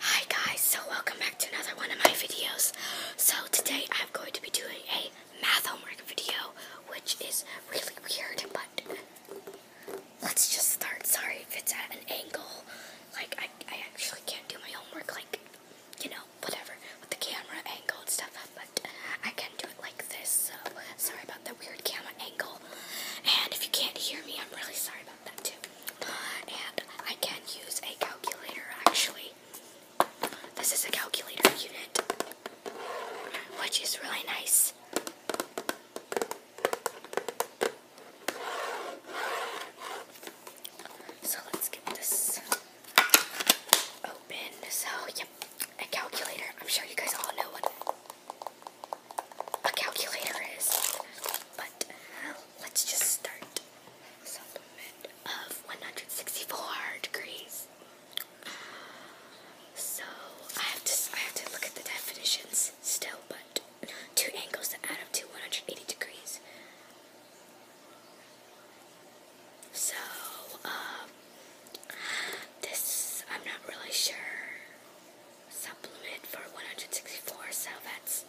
Hi guys, so welcome back to another one of my videos. So today I'm going to be doing a math homework video, which is really weird, but let's just start. Sorry if it's at an angle. Like, I, I actually can't do my homework, like, you know, whatever, with the camera angle and stuff, but I can do it like this, so sorry about the weird camera angle. And if you can't hear me, I'm really sorry that too. And I can use a calculator actually. This is a calculator unit, which is really nice. So let's get this open. So, yep, a calculator. I'm sure you guys all know what a calculator is. But let's just start. Supplement of 164 degrees. So I have to I have to look at the definitions still, but two angles that add up to 180 degrees. So um, this I'm not really sure supplement for 164, so that's,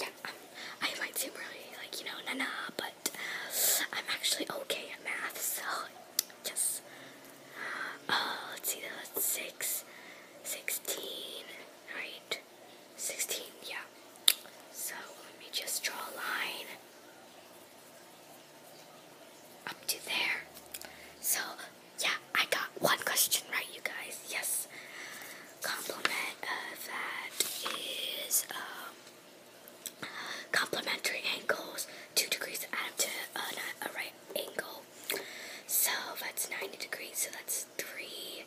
yeah, um, I might seem really, like, you know, nah, nah. but uh, I'm actually okay at math, so, just, uh, let's see, that's 6, right, 16, yeah, so, let me just draw a line, up to there. So, yeah, I got one question right, you guys. Yes. Complement of uh, that is um, complementary angles, two degrees add to uh, a right angle. So that's 90 degrees, so that's 3.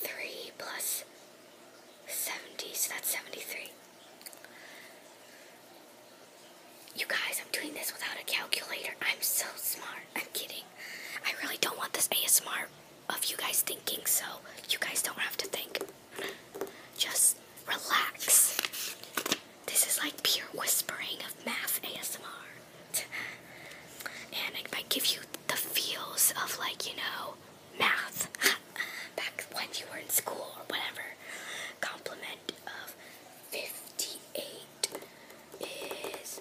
3 plus 70, so that's 73. You guys, I'm doing this without a calculator. I'm so smart. I'm kidding. I really don't want this ASMR of you guys thinking, so you guys don't have to think. Just relax. This is like pure whispering of math ASMR. And it might give you the feels of like, you know, math. Back when you were in school or whatever complement of 58 is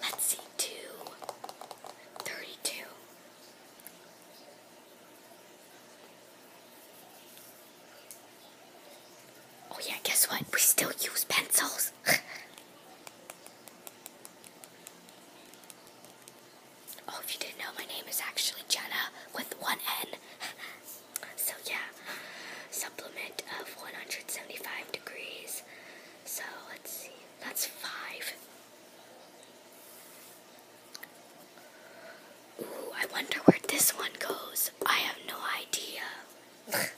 Let's see, two thirty-two. Oh yeah, guess what? We still use pencils. oh, if you didn't know, my name is actually Jenna with one N. so yeah, supplement of 175 degrees. So let's see, that's five. Ooh, I wonder where this one goes. I have no idea.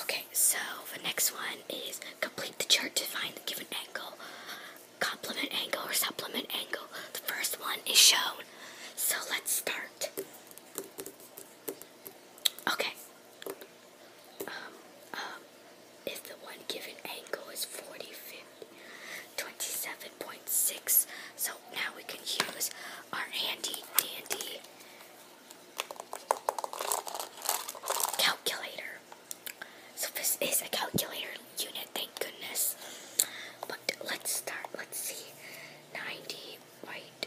okay, so the next one is complete the chart to find the given angle, complement angle, or supplement angle. The first one is shown. So let's start. Okay, um, um, if the one given angle is 40, 50, 27.6. So now we can use our handy dandy calculator. So this is a calculator unit, thank goodness. But let's start, let's see. 90, right?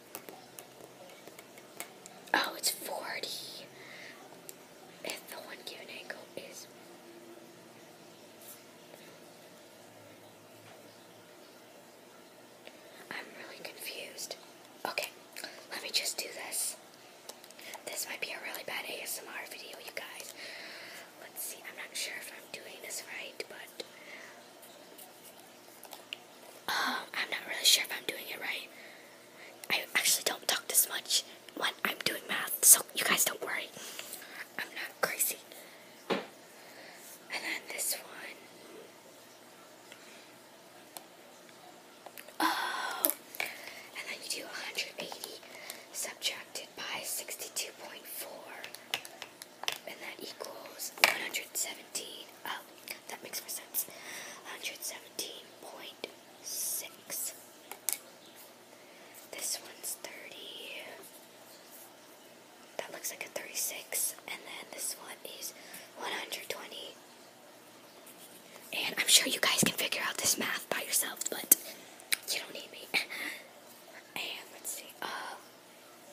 Oh, it's 40. If the one given angle is. I'm really confused. Okay, let me just do this. This might be a really bad ASMR video, you guys. Let's see, I'm not sure if I'm doing this right, but um, I'm not really sure if I'm doing it right. I actually don't talk this much when I'm doing math, so you guys don't worry. I'm not crazy. And then this one. Oh! And then you do 180 subtracted by 62.4 and that equals 117. Oh, that makes more sense. 117.6. This one's 30. That looks like a 36. And then this one is 120. And I'm sure you guys can figure out this math by yourself. but you don't need me. and let's see. Uh,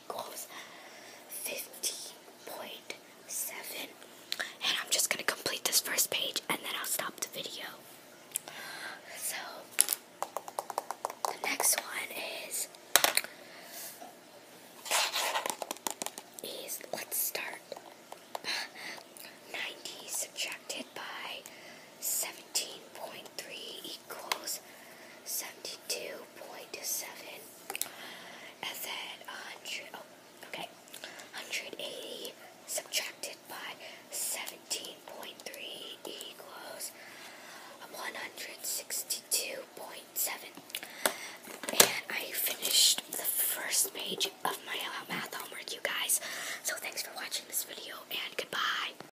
equals 15.7. And I'm just going to complete this first page and then I'll stop the video. So, the next one is, is let's start. 90 subtracted by 70. 19.3 equals 72.7. And then 100, okay, 180 subtracted by 17.3 equals 162.7. And I finished the first page of my math homework, you guys. So thanks for watching this video, and goodbye.